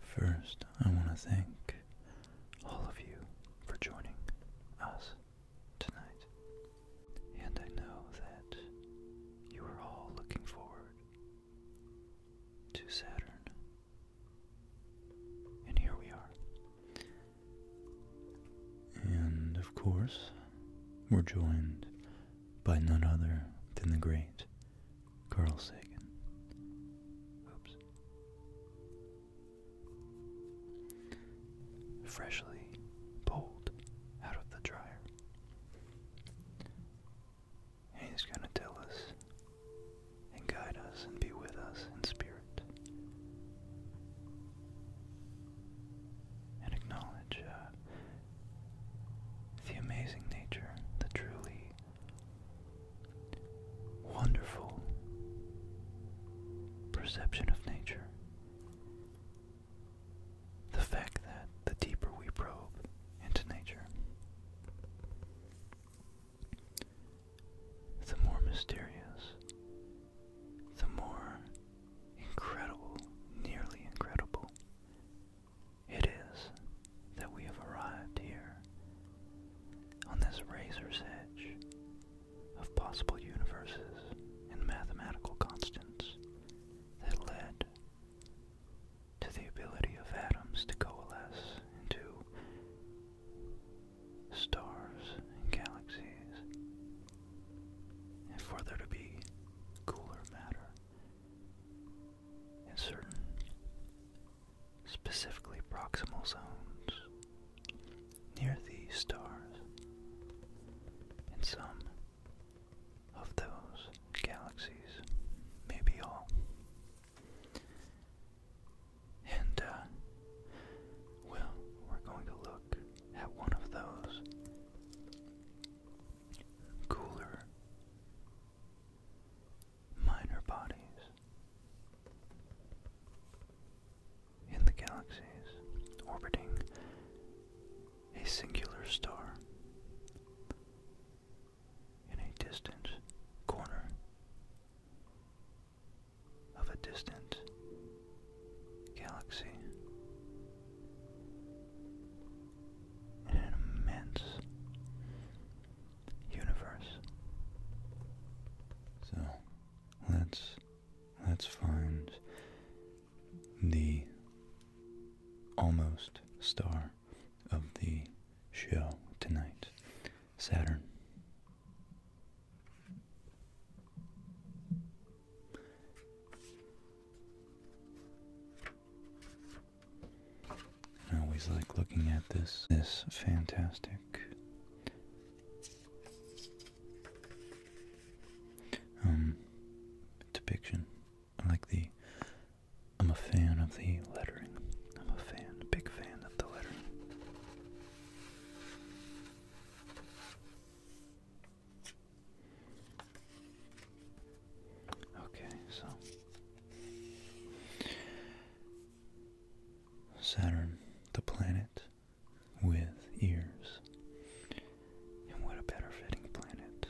First, I want to thank all of you for joining us tonight. And I know that you are all looking forward to Saturn. And here we are. And of course, we're joined by none other than the great Carl Sagan. Oops. Freshly pulled out of the dryer. He's going to tell us and guide us and be with us in spirit and acknowledge uh, the amazing nature, the truly wonderful perception of nature. The fact that the deeper we probe into nature, the more mysterious the more incredible, nearly incredible, it is that we have arrived here on this razor's edge of possible universes and mathematical constants that led to the ability of atoms to coalesce into stars and galaxies and for there to be cooler matter in certain specifically proximal zones near these stars and some of those galaxies, maybe all. And, uh, well, we're going to look at one of those cooler, minor bodies in the galaxies orbiting a singular star in a distant corner of a distant galaxy in an immense universe. So let's let's find the almost star of the show tonight, Saturn. I always like looking at this, this fantastic um, depiction. I like the, I'm a fan of the lettering. I'm a fan, big fan of the lettering. Okay, so Saturn, the planet with ears. And what a better fitting planet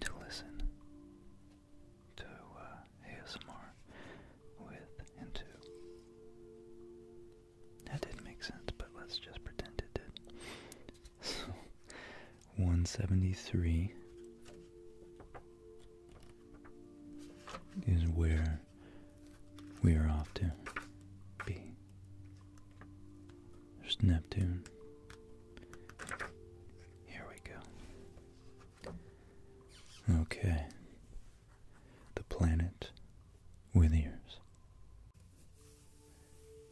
to listen to uh, ASMR with and to. That didn't make sense, but let's just pretend it did. So, 173 is where we are off to be. There's Neptune. Here we go. Okay. The planet with ears.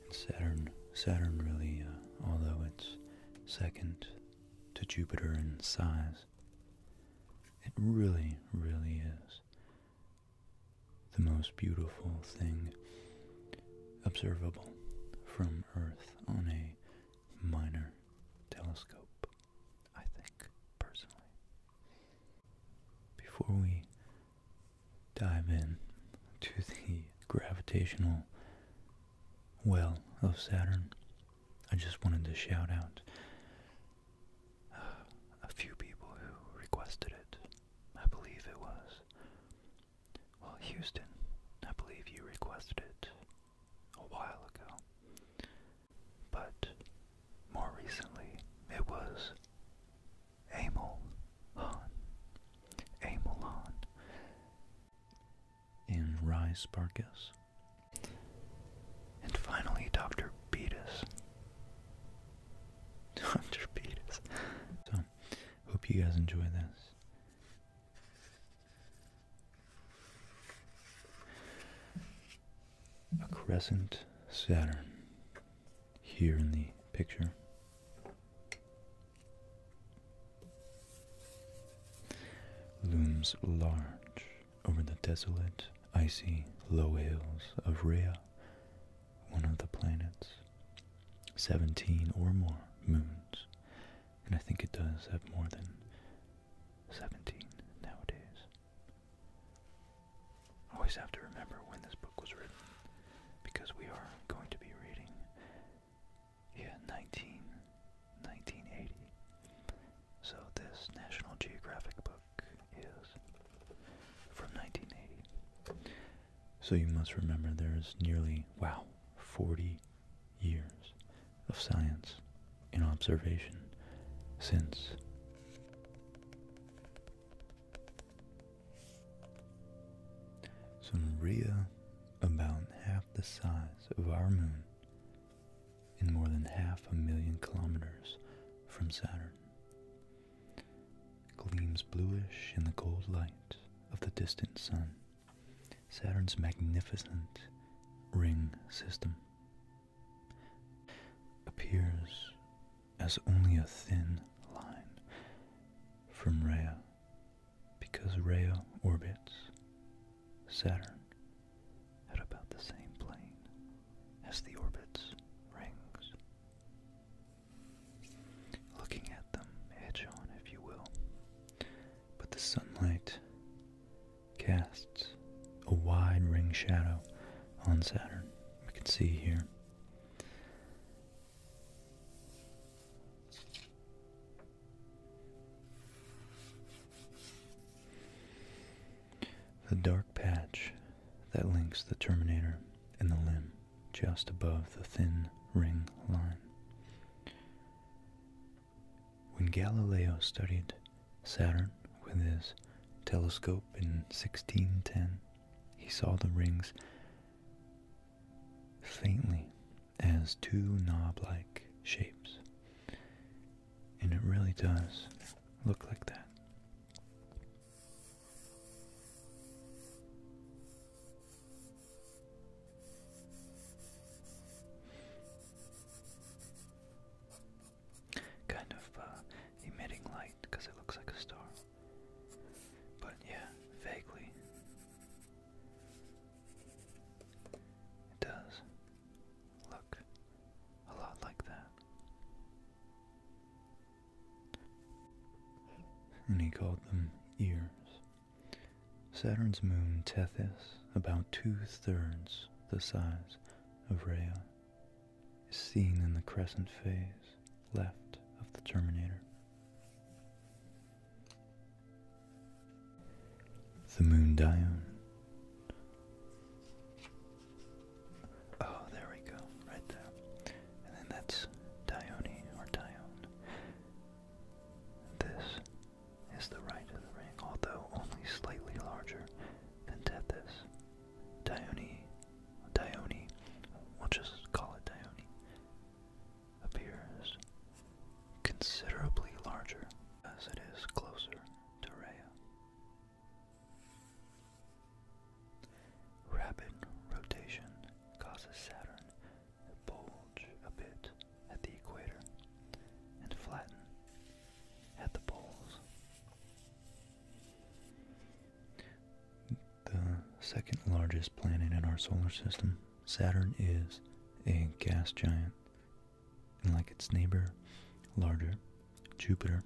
And Saturn, Saturn really, uh, although it's second to Jupiter in size, it really, really is the most beautiful thing observable from Earth on a minor telescope, I think, personally. Before we dive in to the gravitational well of Saturn, I just wanted to shout out uh, a few people who requested it. I believe it was. Well, Houston, I believe you requested it a while ago. But more recently, it was Amol Han, Amol and Rye And finally, Dr. Beatus. Dr. Beatus. So, hope you guys enjoy this a crescent Saturn here in the picture. Looms large over the desolate, icy low hills of Rhea, one of the planets. Seventeen or more moons, and I think it does have more than seventeen nowadays always have to remember when this book was written because we are going to be reading yeah 19 1980 so this national geographic book is from 1980 so you must remember there's nearly wow 40 years of science and observation since Sunria, about half the size of our moon and more than half a million kilometers from Saturn, gleams bluish in the cold light of the distant sun, Saturn's magnificent ring system appears as only a thin line from Rhea because Rhea orbits Saturn at about the same plane as the orbit's rings. Looking at them edge on, if you will, but the sunlight casts a wide ring shadow on Saturn. We can see here. The dark patch that links the terminator and the limb just above the thin ring line. When Galileo studied Saturn with his telescope in 1610, he saw the rings faintly as two knob-like shapes. And it really does look like that kind of uh, emitting light because it looks like a star. But yeah, vaguely. It does look a lot like that. And he called them ears. Saturn's moon Tethys, about two thirds the size of Rhea, is seen in the crescent phase left of the terminator. The moon dione. Oh, there we go, right there. And then that's Dione or Dione. This is the right of the ring, although only slightly larger than Tethys. Dione, Dione, we'll just call it Dione, appears considerably larger as it is closer to Rhea. Rapid rotation causes Saturn to bulge a bit at the equator and flatten at the poles. The second largest planet in our solar system, Saturn is a gas giant. And like its neighbor, larger, Jupiter.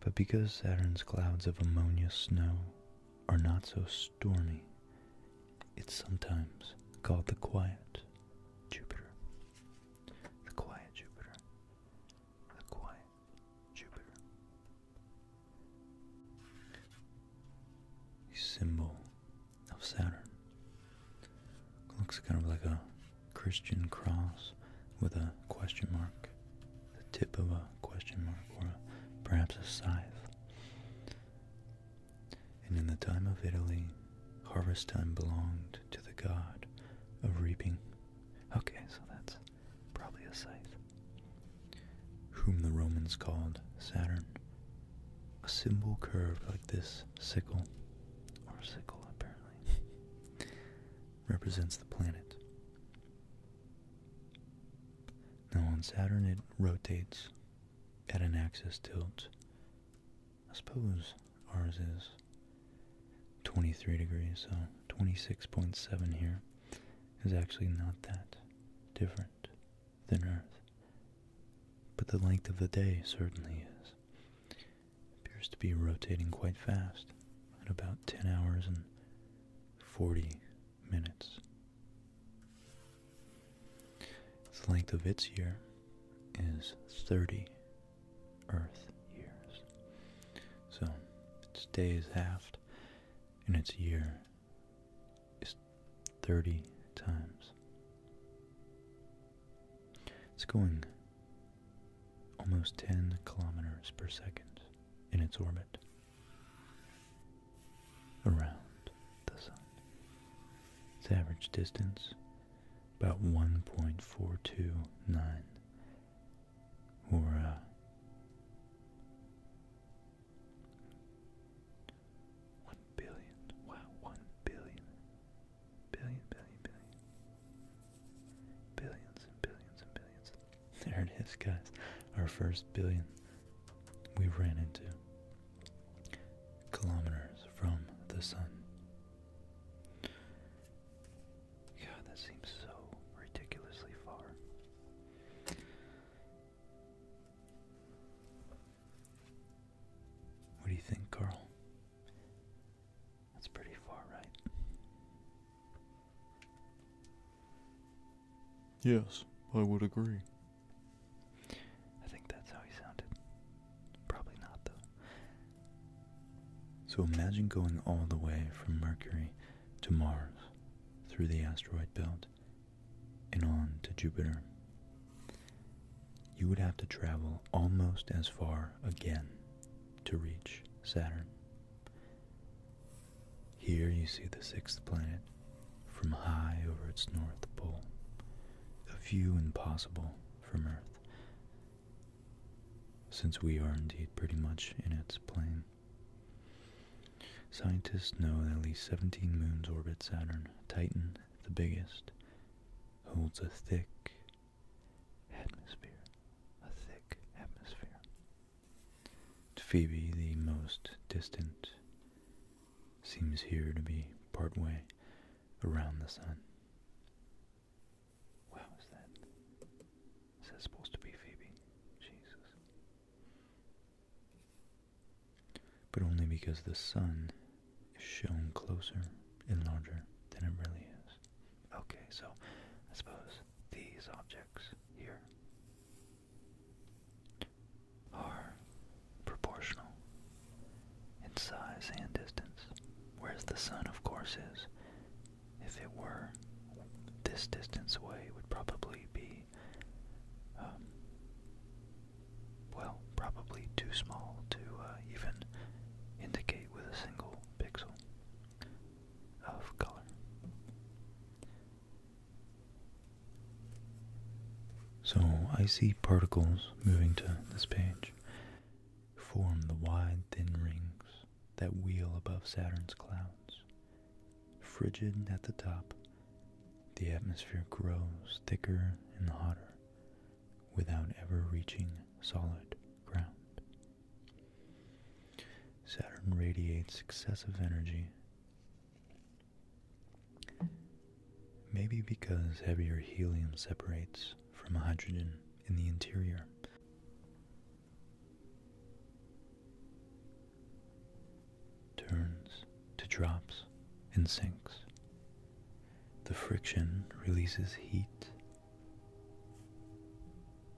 But because Saturn's clouds of ammonia snow are not so stormy, it's sometimes called the quiet Jupiter. The quiet Jupiter. The quiet Jupiter. symbol of Saturn. looks kind of like a Christian cross with a question mark, the tip of a question mark, or perhaps a scythe. And in the time of Italy, harvest time belonged to the god of reaping. Okay, so that's probably a scythe. Whom the Romans called Saturn. A symbol curved like this sickle, or sickle apparently, represents the planet. Now on Saturn it rotates at an axis tilt I suppose ours is 23 degrees, so 26.7 here is actually not that different than Earth. But the length of the day certainly is. appears to be rotating quite fast at about 10 hours and 40 minutes. The length of its year is 30 Earth years. So its days is halved, and its year is 30 times. It's going almost 10 kilometers per second in its orbit around the sun. Its average distance about 1.429 or uh, one billion. Wow, billion. Billions and billions and billions. There it is, guys. Our first billion we ran into. Kilometers from the sun. God, that seems so ridiculously far. What do you think, Carl? That's pretty far, right? Yes, I would agree. I think that's how he sounded. Probably not, though. So imagine going all the way from Mercury to Mars through the asteroid belt and on to Jupiter. You would have to travel almost as far again to reach Saturn. Here you see the sixth planet from high over its north pole, a view impossible from Earth since we are indeed pretty much in its plane. Scientists know that at least 17 moons orbit Saturn. Titan, the biggest, holds a thick atmosphere. A thick atmosphere. Phoebe, the most distant, seems here to be partway around the sun. Where was that? Is that supposed to be Phoebe? Jesus. But only because the sun is shown closer and larger than it really is. Okay, so I suppose these objects here are proportional in size and distance, whereas the sun, of course, is, if it were this distance away, would probably be, um, well, probably too small to uh, even indicate with a single pixel of color. So I see particles moving to this page form the wide thin rings that wheel above Saturn's clouds. Frigid at the top, the atmosphere grows thicker and hotter without ever reaching solid ground. Saturn radiates excessive energy, maybe because heavier helium separates from hydrogen in the interior. Turns to drops and sinks. The friction releases heat.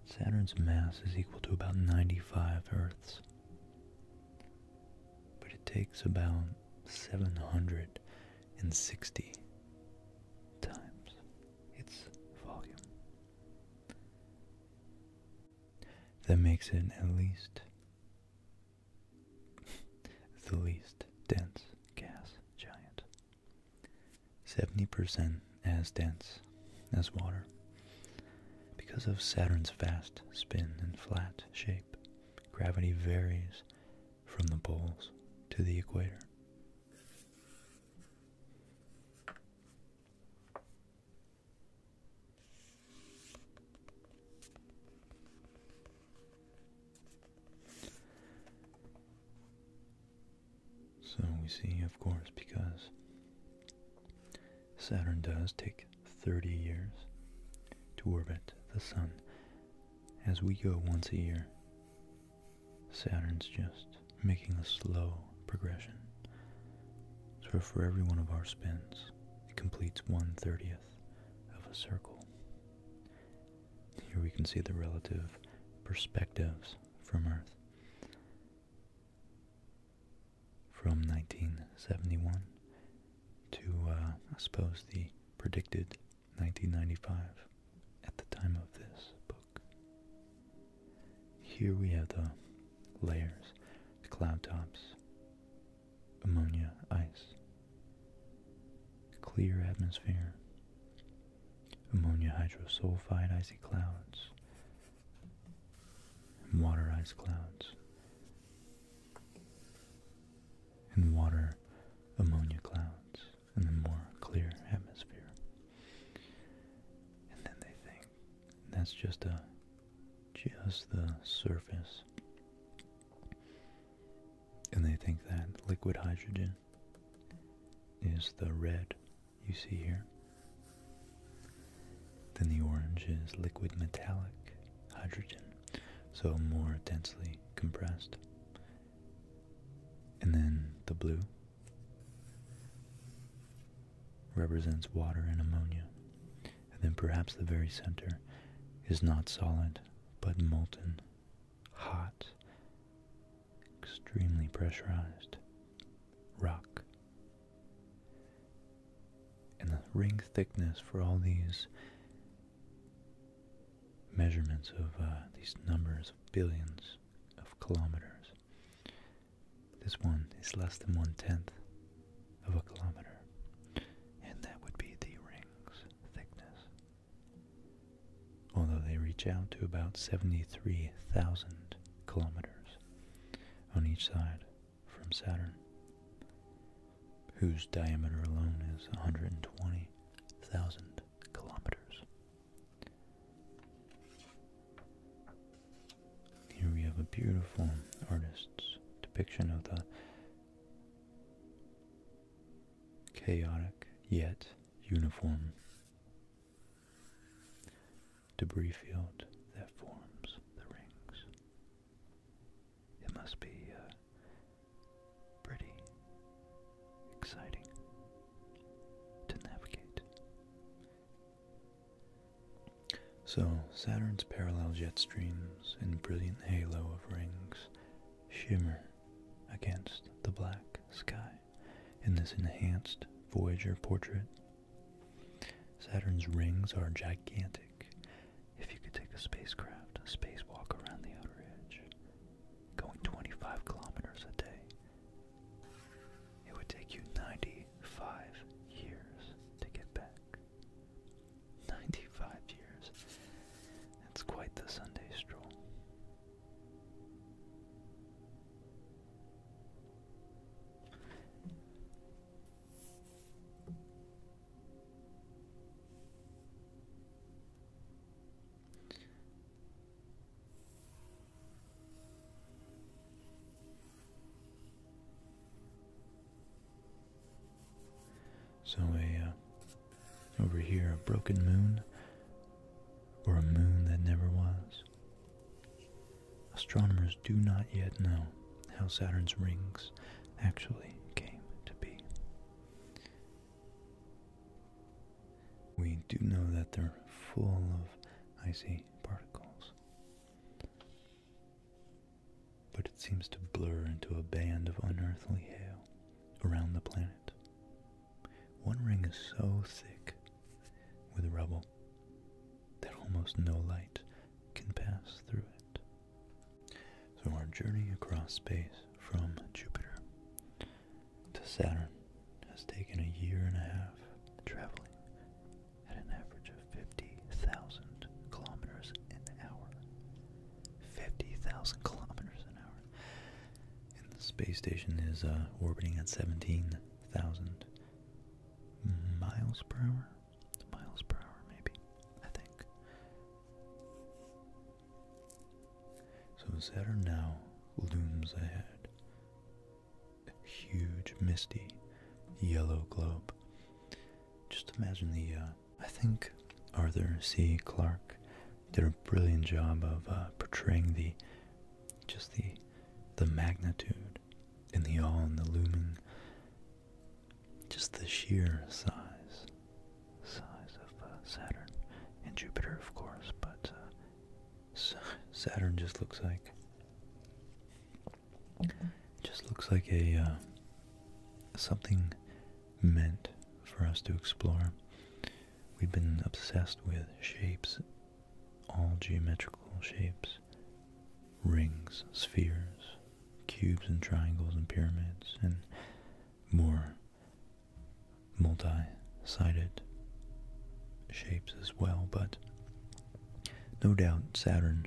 Saturn's mass is equal to about 95 Earths, but it takes about 700 and 60 times its volume. That makes it at least the least dense gas giant. 70% as dense as water because of Saturn's fast spin and flat shape. Gravity varies from the poles to the equator. So we see, of course, because Saturn does take 30 years to orbit the Sun, as we go once a year Saturn's just making a slow progression. So for every one of our spins, it completes 1 30th of a circle. Here we can see the relative perspectives from Earth. From 1971 to, uh, I suppose, the predicted 1995, at the time of this book. Here we have the layers, the cloud tops, ammonia, ice, clear atmosphere, ammonia hydrosulfide icy clouds, water ice clouds, and water ammonia clouds in the more clear atmosphere, And then they think that's just a just the surface. And they think that liquid hydrogen is the red you see here. Then the orange is liquid metallic hydrogen, so more densely compressed. And then the blue represents water and ammonia. And then perhaps the very center is not solid, but molten, hot, extremely pressurized rock. And the ring thickness for all these measurements of uh, these numbers of billions of kilometers. This one is less than one tenth of a kilometer, and that would be the ring's thickness. Although they reach out to about 73,000 kilometers on each side from Saturn, whose diameter alone is 120,000 kilometers. Here we have a beautiful artist's depiction of the chaotic yet uniform debris field that forms the rings. It must be uh, pretty exciting to navigate. So, Saturn's parallel jet streams and brilliant halo of rings shimmer against the black sky in this enhanced Voyager portrait. Saturn's rings are gigantic. If you could take a spacecraft, a spacewalk around the outer edge, going 25 kilometers a day. It would take you 95 years to get back. 95 years. That's quite the Sunday stroll. So a uh, over here a broken moon or a moon that never was. Astronomers do not yet know how Saturn's rings actually came to be we do know that they're full of icy particles. But it seems to blur into a band of unearthly hail around the planet. One ring is so thick with rubble that almost no light can pass through it. So, our journey across space from Jupiter to Saturn has taken a year and a half traveling at an average of 50,000 kilometers an hour. 50,000 kilometers an hour. And the space station is uh, orbiting at 17,000 miles per hour. Miles per hour, maybe. I think. So Saturn now looms ahead, a huge, misty, yellow globe. Just imagine the, uh, I think Arthur C. Clarke did a brilliant job of uh, portraying the, just the, the magnitude and the awe and the looming, just the sheer size size of uh, Saturn and Jupiter, of course, but uh, Saturn just looks like just looks like a uh, something meant for us to explore. We've been obsessed with shapes, all geometrical shapes, rings, spheres, cubes and triangles and pyramids and more multi-sided shapes as well, but no doubt Saturn,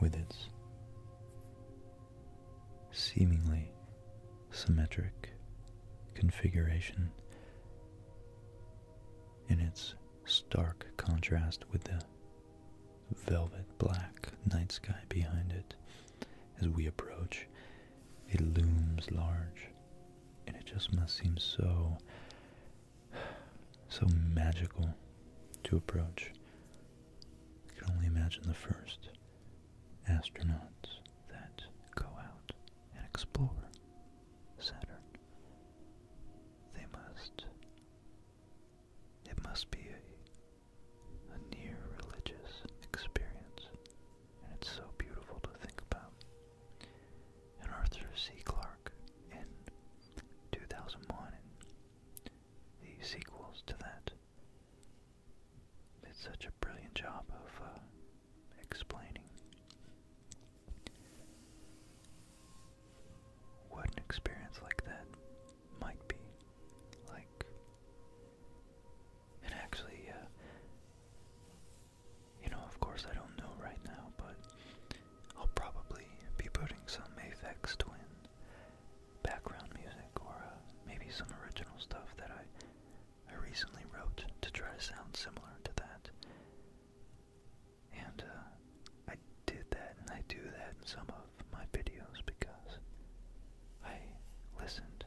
with its seemingly symmetric configuration in its stark contrast with the velvet black night sky behind it as we approach, it looms large. And it just must seem so, so magical to approach. I can only imagine the first astronauts that go out and explore Saturn. They must, it must be a, a near religious experience and it's so beautiful to think about. And Arthur C. Clarke in 2001 the sequels to that did such a brilliant job of uh, explaining. What an experience like that might be like and actually, uh, you know, of course, I don't know right now, but I'll probably be putting some Aphex Twin background music or uh, maybe some original stuff that I, I recently wrote to try to sound similar to that. And uh, I did that and I do that in some of my videos because I listened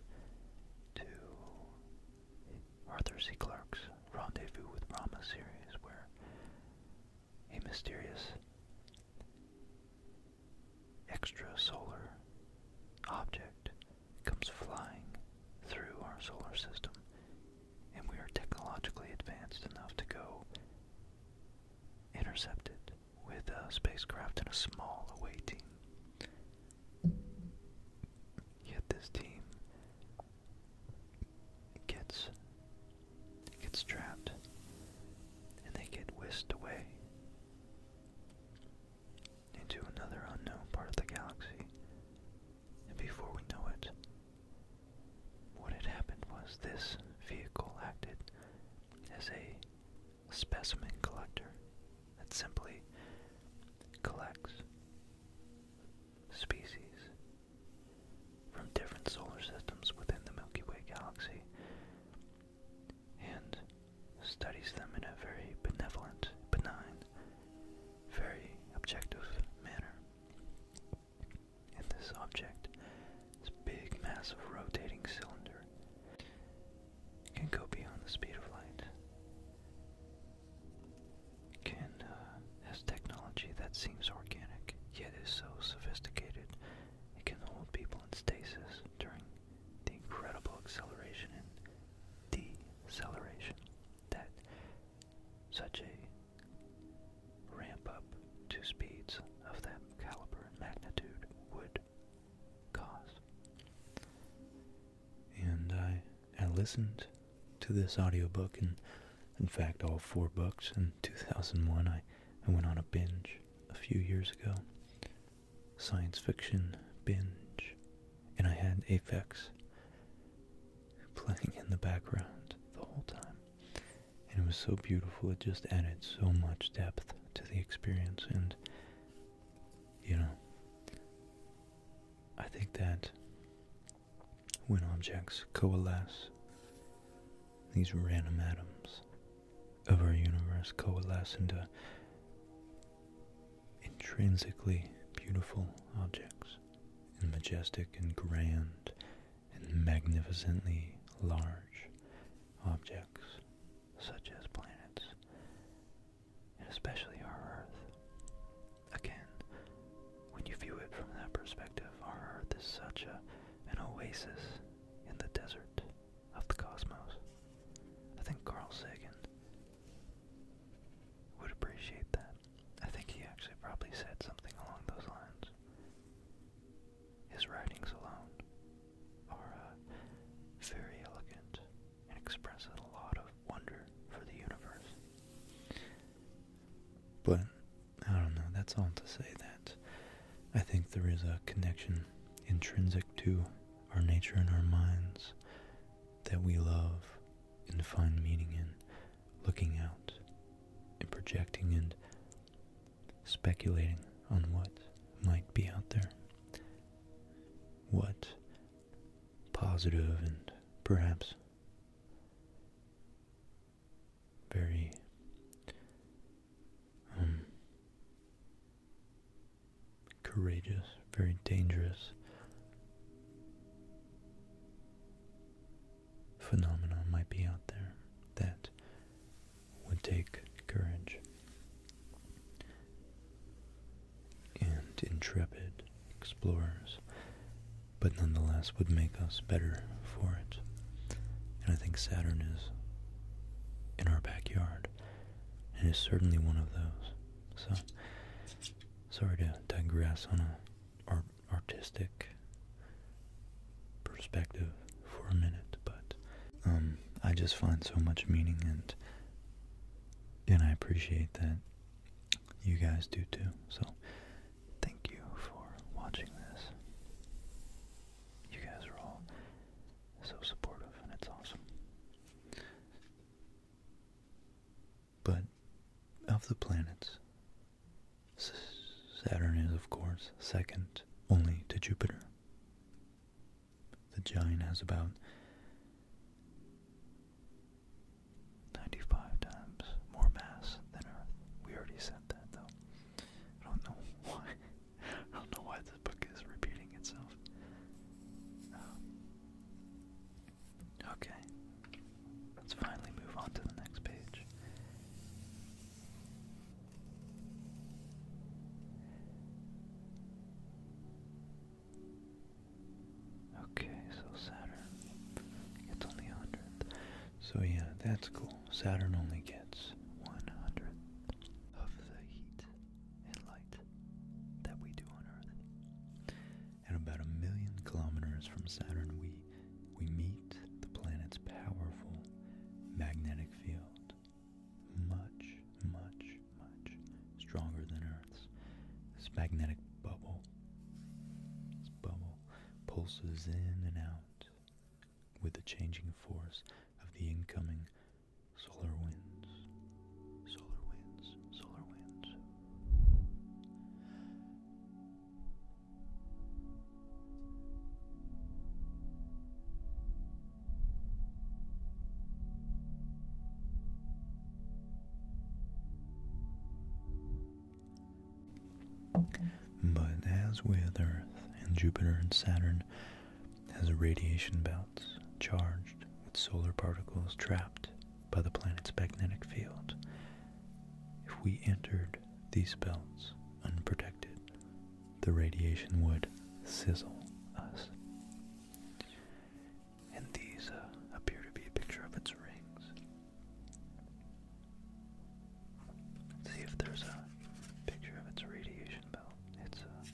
to Arthur C. Clarke's Rendezvous with Rama series, where a mysterious extrasolar object comes flying through our solar system, and we are technologically advanced enough to go intercept it with a spacecraft and a small away team. Yet this team gets gets trapped and they get whisked away into another unknown part of the galaxy. And before we know it, what had happened was this vehicle acted as a specimen collector that simply collects species from different solar systems within the Milky Way galaxy and studies them in a very benevolent, benign, very objective manner. And this object, this big, massive rotating cylinder, can go beyond the speed of light, can uh, has technology that seems organic yet is so sophisticated it can hold people in stasis during the incredible acceleration and deceleration that such a ramp up to speeds of that caliber and magnitude would cause. And I, I listened to this audiobook, and in fact, all four books. In 2001, I, I went on a binge a few years ago science fiction binge, and I had Aphex playing in the background the whole time. And it was so beautiful, it just added so much depth to the experience, and you know, I think that when objects coalesce, these random atoms of our universe coalesce into intrinsically beautiful objects, and majestic and grand and magnificently large objects, such as planets and especially our Earth. Again, when you view it from that perspective, our Earth is such a, an oasis in the desert of the cosmos. I think Carl Sagan would appreciate that. I think he actually probably said something along those lines. His writings alone are uh, very elegant and express a lot of wonder for the universe. But I don't know, that's all to say that I think there is a connection intrinsic to our nature and our minds that we love and find meaning in looking out and projecting and speculating on what might be out there what positive and perhaps very um, courageous, very dangerous phenomenon might be out there that would take courage and intrepid explorers, but nonetheless would make us better for it. And I think Saturn is in our backyard and is certainly one of those. So, sorry to digress on a artistic perspective for a minute, but um, I just find so much meaning and and I appreciate that you guys do too. So thank you for watching this. You guys are all so supportive and it's awesome. But of the planets, Saturn is of course second only to Jupiter. The giant has about 95 times more mass than Earth. We already said that though. I don't know why. I don't know why this book is repeating itself. Um, okay. Let's finally move on to the next page. Okay, so Saturn gets on the hundredth. So yeah, that's cool. Saturn only gets one hundredth of the heat and light that we do on Earth. At about a million kilometers from Saturn, we we meet the planet's powerful magnetic field much, much, much stronger than Earth's. magnetic bubble, this bubble pulses in and out with the changing force of the incoming solar winds. Solar winds, solar winds. But as with Earth and Jupiter and Saturn, has radiation belts charged with solar particles trapped by the planet's magnetic field. If we entered these belts unprotected, the radiation would sizzle us. And these uh, appear to be a picture of its rings. Let's see if there's a picture of its radiation belt, its uh,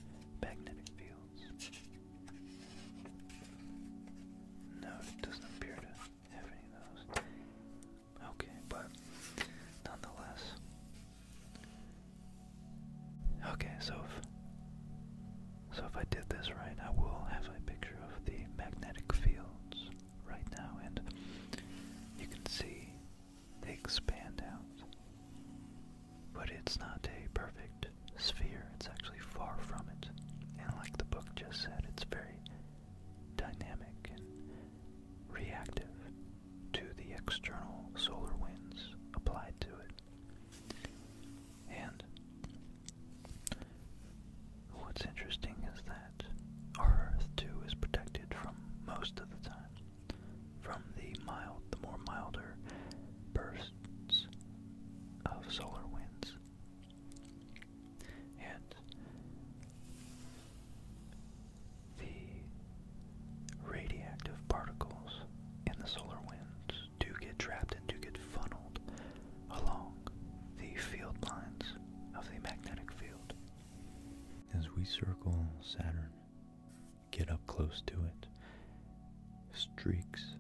magnetic fields. No, it doesn't appear to have any of those. Okay, but nonetheless, Okay, so if, so if I did this right, I will have a picture of the magnetic fields right now, and you can see they expand out. But it's not a perfect sphere, it's actually far from it. And like the book just said, it's very dynamic and reactive to the external solar winds applied to it. And what's interesting is that our Earth too is protected from most of the time from the mild, the more milder bursts of solar winds. And the radioactive particles in the solar winds do get trapped and do get funneled along the field lines of the magnetic field. As we circle Saturn, get up close to it, streaks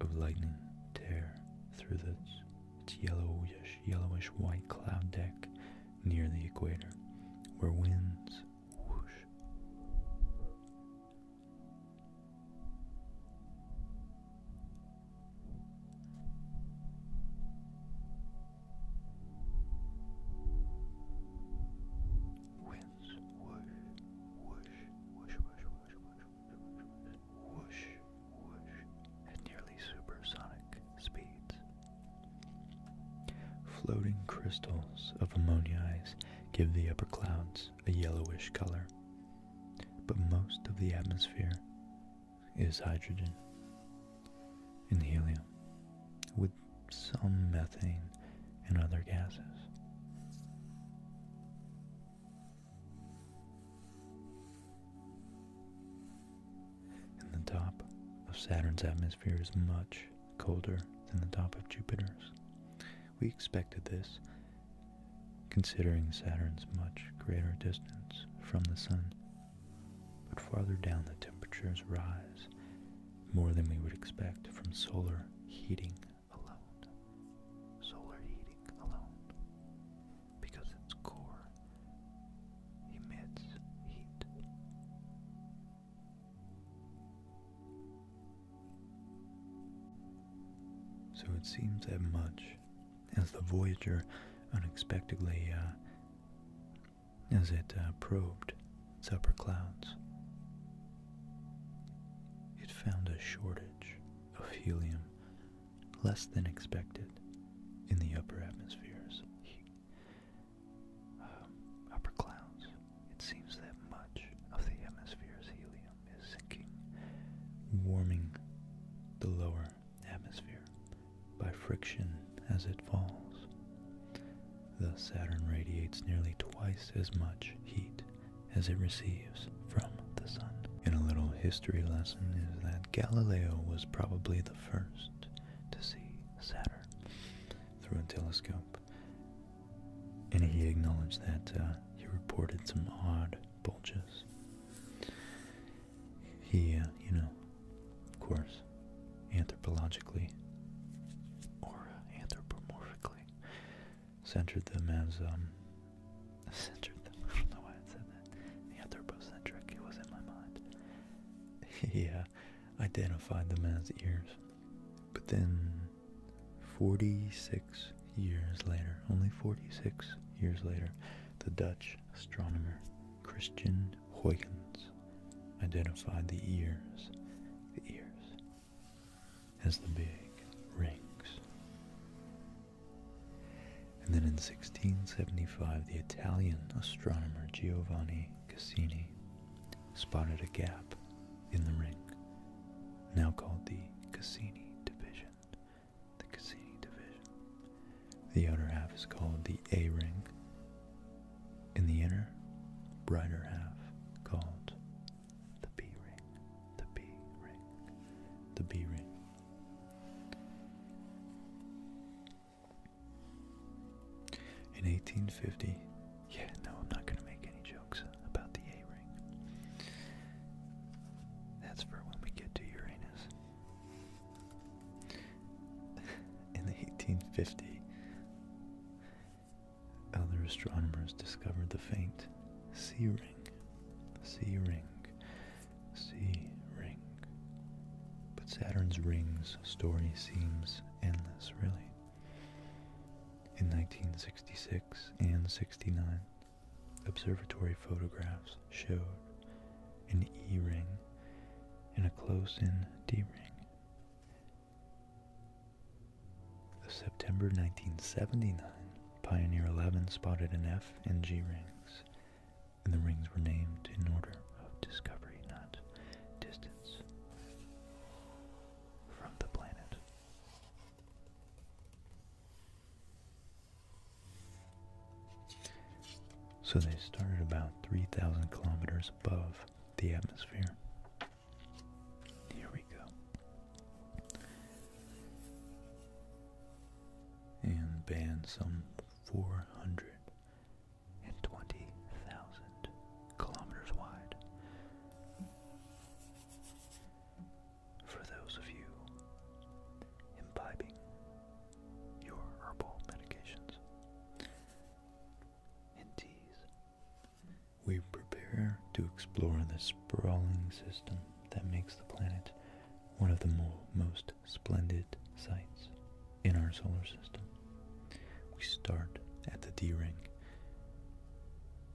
of lightning tear through its yellowish, yellowish white cloud deck near the equator, where winds Whoosh. at nearly supersonic speeds. Floating crystals of ammoniaze give the upper clouds a yellowish color, but most of the atmosphere is hydrogen and helium, with some methane and other gases. And the top of Saturn's atmosphere is much colder than the top of Jupiter's. We expected this, considering Saturn's much greater distance from the Sun. But farther down the temperatures rise, more than we would expect from solar heating alone. Solar heating alone. Because its core emits heat. So it seems that much as the Voyager unexpectedly, uh, as it uh, probed its upper clouds, it found a shortage of helium less than expected in the upper atmospheres um, upper clouds, it seems that much of the atmosphere's helium is sinking, warming the lower atmosphere by friction as it falls. Thus, Saturn radiates nearly twice as much heat as it receives from the sun. And a little history lesson is that Galileo was probably the first to see Saturn through a telescope and he acknowledged that uh, he reported some odd bulges. He, uh, you know, of course, anthropologically or uh, anthropomorphically centered them as, um, centered them, I don't know why I said that, anthropocentric, it was in my mind. He identified them as ears, but then 46 years later, only 46 years later, the Dutch astronomer Christian Huygens identified the ears, the ears, as the big rings. And then in 1675, the Italian astronomer Giovanni Cassini spotted a gap in the ring, now called the Cassini division. The Cassini division. The outer half is called the A ring, In the inner, brighter half called the B ring. The B ring. The B ring. In 1850, yeah, no, I'm not going to make any jokes about the A ring. That's for when we get to Uranus. In the 1850s, other astronomers discovered the faint C ring. C ring. C ring. But Saturn's rings story seems endless, really. In 1966 and 69, observatory photographs showed an E ring and a close in D ring. The September 1979 Pioneer 11 spotted an F and G rings, and the rings were named in order of discovery, not distance from the planet. So they started about 3,000 kilometers above the atmosphere. Here we go. And banned some 420,000 kilometers wide for those of you imbibing your herbal medications in teas, we prepare to explore the sprawling system that makes the planet one of the most splendid sights in our solar system. We start at the D ring,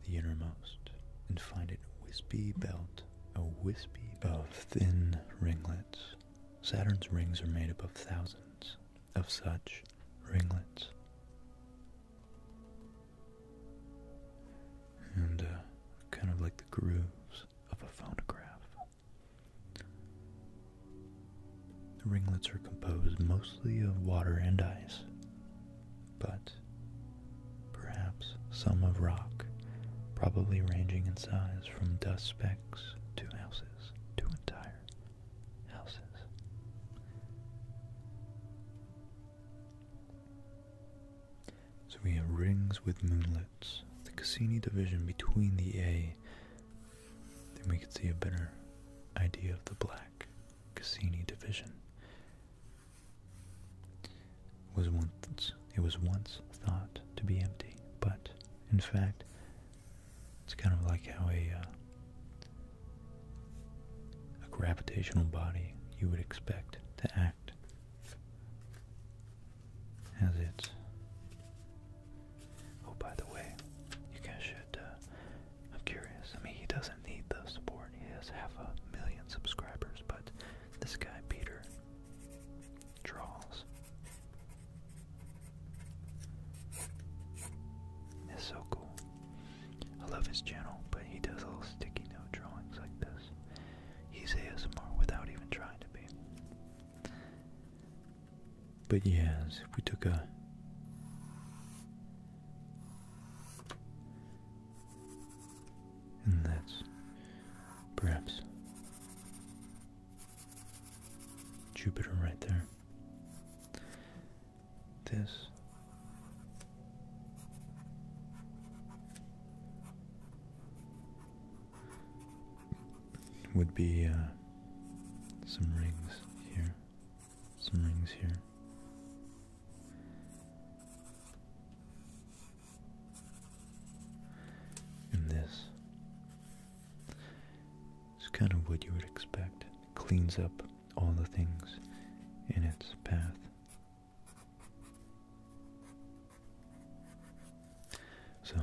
the innermost, and find it wispy belt, a wispy of thin ringlets. Saturn's rings are made up of thousands of such ringlets. And uh, kind of like the grooves of a phonograph. The ringlets are composed mostly of water and ice, but perhaps some of rock, probably ranging in size from dust specks to houses, to entire houses. So we have rings with moonlets, the Cassini division between the A, then we could see a better idea of the black Cassini division. Was once, it was once thought to be empty, but in fact, it's kind of like how a, uh, a gravitational body you would expect to act as it. Oh, by the way, you guys should uh, I'm curious. I mean, he doesn't need the support. He has half a million subscribers, but this guy, Peter, draws. It's so cool. I love his channel, but he does little sticky note drawings like this. He's ASMR without even trying to be. But yes, we took a and that's perhaps Jupiter right there. This would be uh, some rings here some rings here. And this is kind of what you would expect. cleans up all the things in its path. So,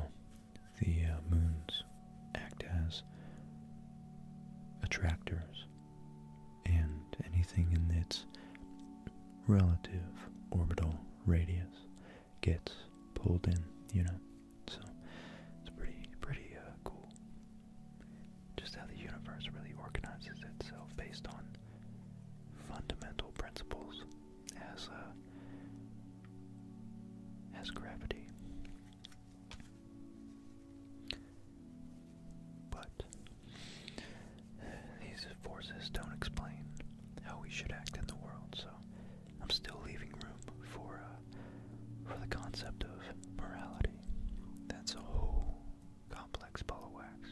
the uh, moon's act as attractors and anything in its relative orbital radius gets pulled in, you know. So it's pretty pretty uh, cool. Just how the universe really organizes itself based on fundamental principles as uh, as gravity but these forces don't explain how we should act in the world, so I'm still leaving room for uh, for the concept of morality. That's a whole complex ball of wax.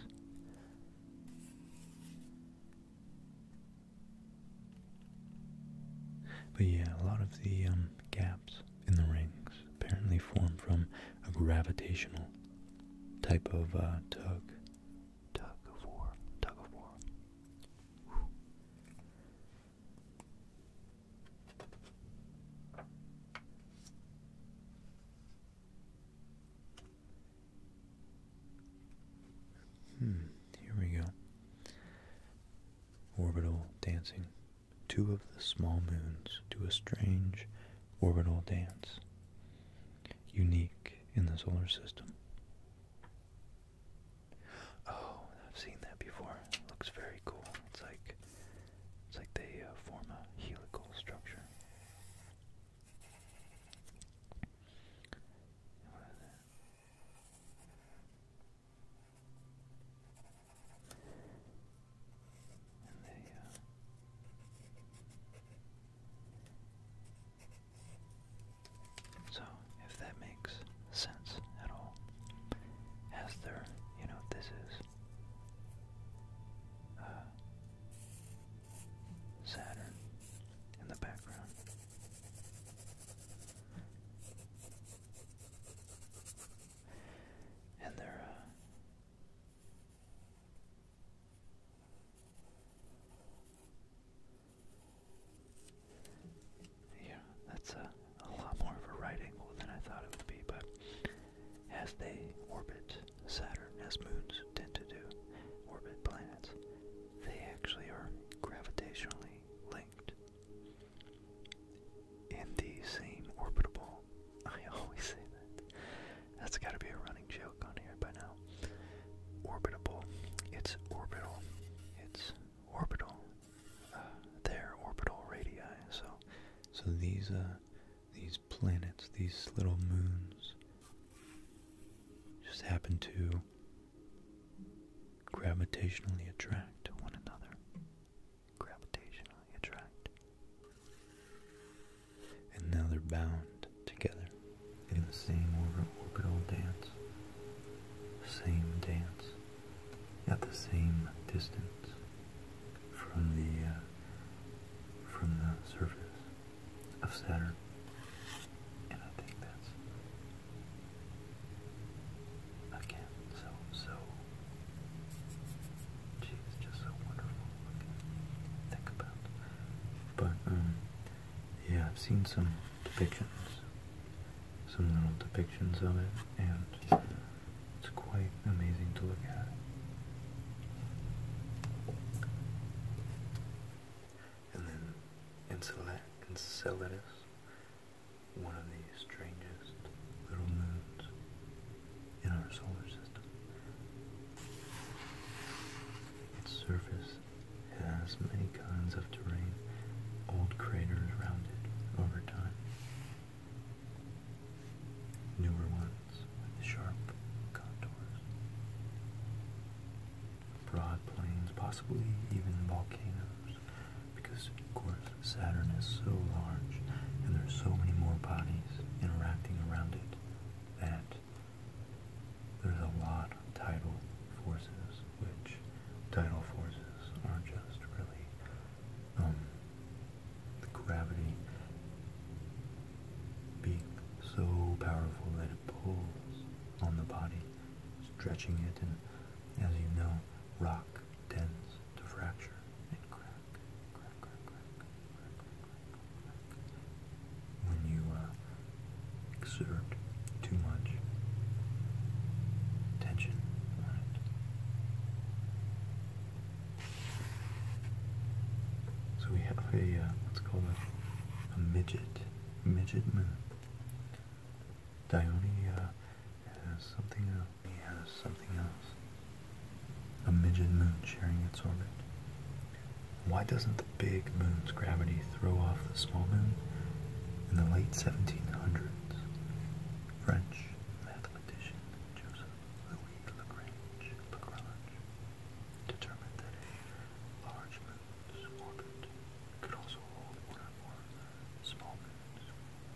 But yeah, a lot of the um, gaps holes in the rings apparently formed from a gravitational type of uh, tug. Tug of war. Tug of war. Hmm, here we go. Orbital dancing two of the small moons do a strange orbital dance, unique in the solar system. Oh, I've seen that before. looks very cool. It's like it's like they uh, form a helical structure. What is that? So, if that makes sense at all, as there, you know, this is uh, Saturn in the background and they're uh, yeah, that's a lot more of a right angle than I thought it would be, but as they orbit Saturn, as moons tend to do, orbit planets, they actually are gravitationally linked in the same orbitable. I always say that. That's got to be a running joke on here by now. Orbital, It's orbital. It's orbital. Uh, they're orbital radii. So, so these uh, these planets, these little moons, just happen to gravitationally attract one another gravitationally attract. And now they're bound together in the same orbital dance, same dance, at the same distance from the uh, from the surface of Saturn. And I think that's Again, so, so, she's just so wonderful think about. But, um, yeah, I've seen some depictions, some little depictions of it, and it's quite amazing to look at. And then Enceladus one of the strangest little moons in our solar system. Its surface has many kinds of terrain, old craters rounded over time. Newer ones with sharp contours. Broad plains, possibly even volcanoes because of course Saturn is so large and there's so many more bodies interacting around it that there's a lot of tidal forces, which tidal forces are just really um, the gravity being so powerful that it pulls on the body, stretching it, and as you know, rock tends to fracture and crack, When you uh, exert too much tension on it. So we have a, uh, what's called a, a midget, midget Dione uh, has something else. He has something else. A midget moon sharing its orbit. Why doesn't the big moon's gravity throw off the small moon? In the late 1700s, French mathematician Joseph Louis Lagrange, determined that a large moon's orbit could also hold one or more small moons.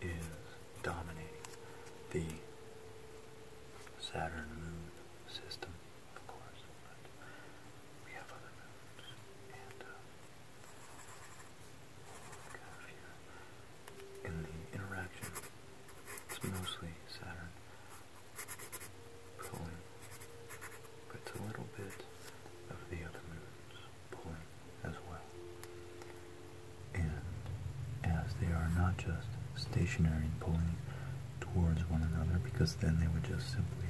is dominating the Saturn moon system, of course, we have other moons, and uh, what in the interaction, it's mostly Saturn but it's a little bit of the other moons point as well. And as they are not just stationary and pulling towards one another, because then they would just simply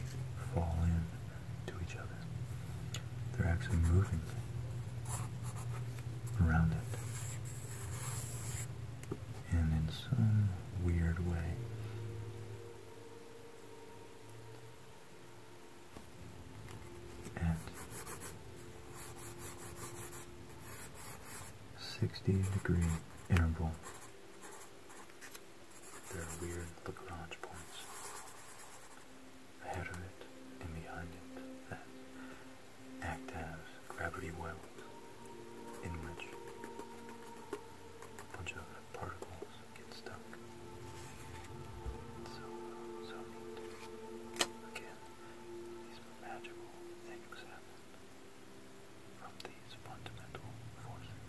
fall in to each other, they're actually moving around it. And in some weird way, and 60 degree interval. There are weird Lagrange points ahead of it and behind it that act as gravity wells in which a bunch of particles get stuck. So, so neat. Again, these magical things happen from these fundamental forces.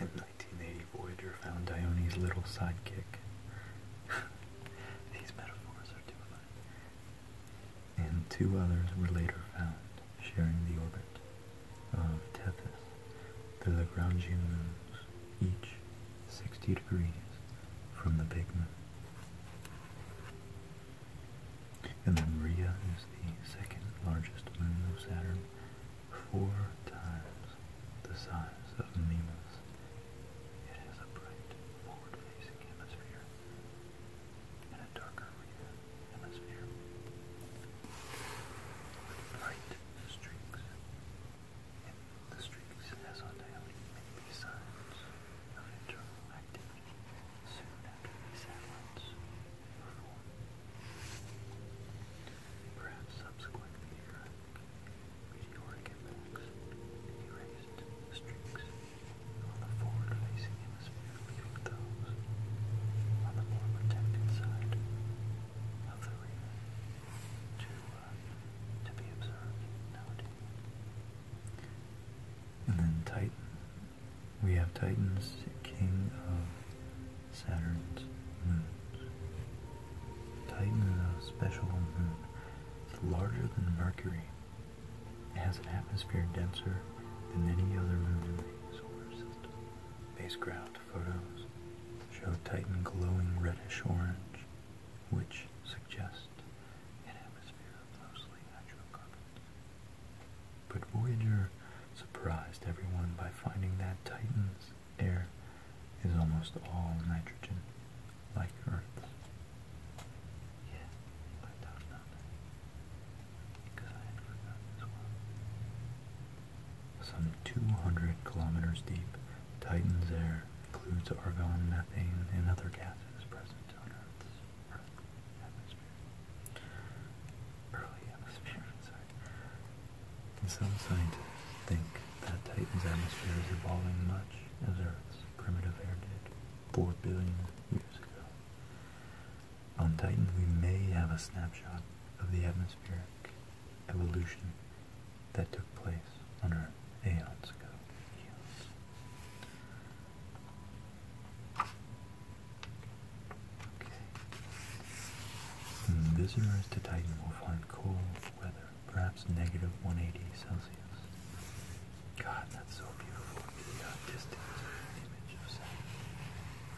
In 1980, Voyager found Dione's little sidekick. These metaphors are too fun. And two others were later found sharing the orbit of Tethys, the Lagrangian moons, each 60 degrees from the big And then Rhea is the second largest moon of Saturn, four times the size of Mimas. It has a bright, forward-facing hemisphere and a darker Rhea hemisphere with light streaks. And the streaks has on daily may signs of internal activity soon after these satellites Perhaps subsequent erased streaks on the forward uh, and then Titan. We have Titan's king of Saturn's moons. Titan is a special moon. It's larger than Mercury. It has an atmosphere denser than any other moon in the solar system. Spacecraft photos show Titan glowing reddish-orange, which suggests an atmosphere of mostly hydrocarbons. But Voyager surprised everyone by finding that Titan's air is almost all nitrogen, like Earth's. Some 200 kilometers deep, Titan's air includes argon, methane, and other gases present on Earth's atmosphere. Early atmosphere, some scientists think that Titan's atmosphere is evolving much as Earth's primitive air did 4 billion years ago. On Titan, we may have a snapshot of the atmospheric evolution that took place on Earth aeons ago. Okay. visitors to Titan will find cold weather, perhaps negative 180 Celsius. God, that's so beautiful. The uh, distant image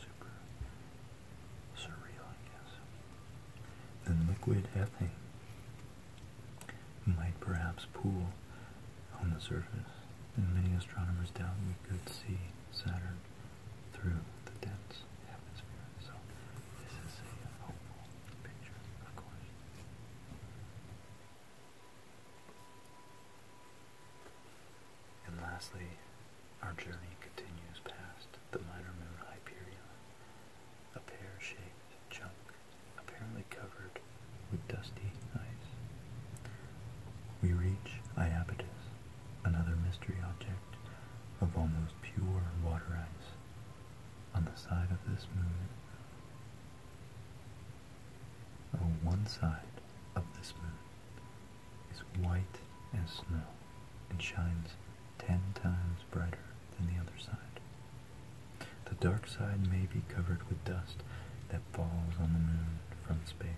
super surreal, I guess. Then liquid ethane might perhaps pool on the surface, and many astronomers doubt we could see Saturn through the dense atmosphere. So this is a hopeful picture, of course. And lastly, our journey continues past the minor moon Hyperion, a pear-shaped chunk apparently covered with dusty ice. We reach Iapetus, another mystery object of almost pure water ice. On the side of this moon, on oh, one side of this moon, is white as snow and shines ten times brighter than the other side. The dark side may be covered with dust that falls on the moon from space,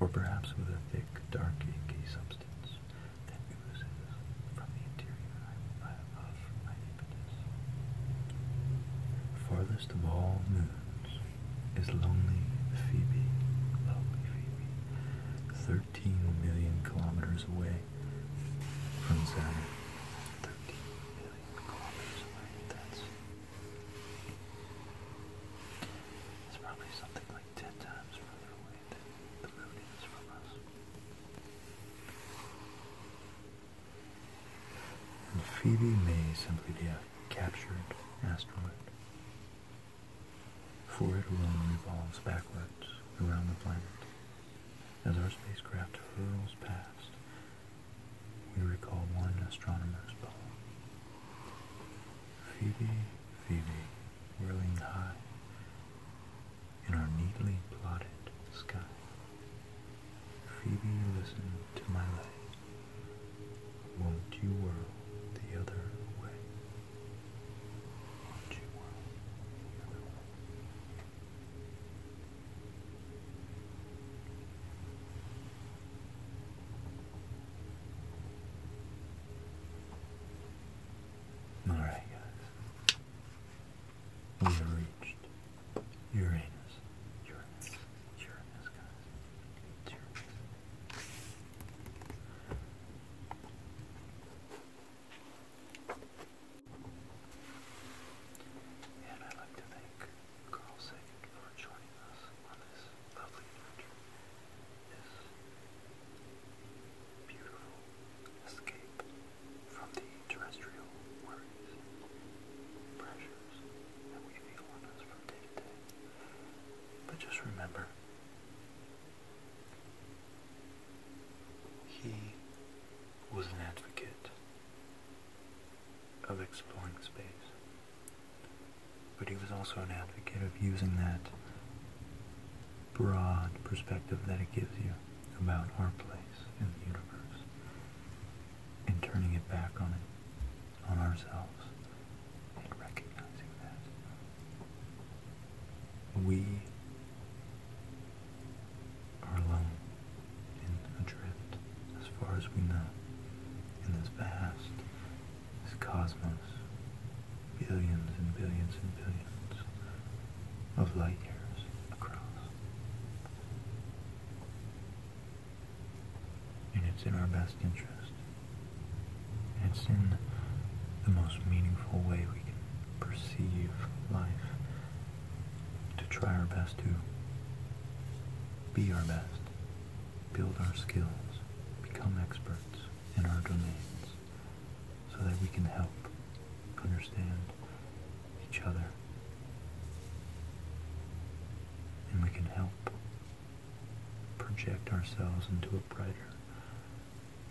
or perhaps with a thick, dark, inky substance that oozes from the interior of Hypatis. Farthest of all moons is Lonely Phoebe. Lonely Phoebe. 13 million kilometers away from Saturn. 13 million kilometers away. That's. It's probably something like 10 times further away than the moon is from us. And Phoebe may simply be a captured asteroid for it alone revolves backwards around the planet. As our spacecraft hurls past, we recall one astronomer's poem. Phoebe, Phoebe, whirling high in our neatly plotted sky. Phoebe, listen to my light. Won't you whirl the other way? Won't you whirl All right, guys. We have reached Uranus. Uranus. Uranus, guys. Uranus. And I'd like to thank Carl Sagan for joining us on this lovely adventure, this beautiful escape from the terrestrial worries, pressures that we feel on us from day to day. But just remember, he was an advocate of exploring space, but he was also an advocate of using that broad perspective that it gives you about our place in the universe and turning it back on it on ourselves and recognizing that we are alone and adrift as far as we know in this vast, this cosmos, billions and billions and billions of light years across and it's in our best interest. It's in the most meaningful way we can perceive life to try our best to be our best, build our skills, become experts in our domains so that we can help understand each other and we can help project ourselves into a brighter,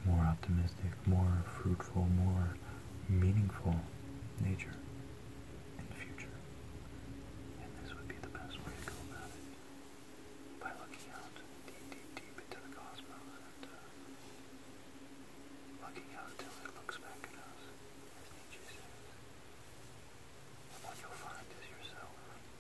more optimistic, more fruitful, more meaningful nature in future. And this would be the best way to go about it. By looking out deep, deep, deep into the cosmos and uh, looking out until it looks back at us, as Nietzsche says. And what you'll find is yourself.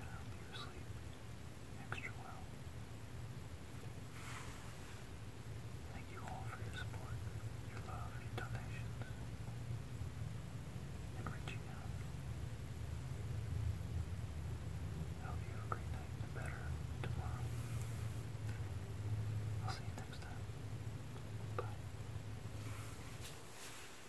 and I hope you sleep extra well. Thank you all for your support, your love, your donations, and reaching out. I hope you have a great night and better tomorrow. I'll see you next time. Bye.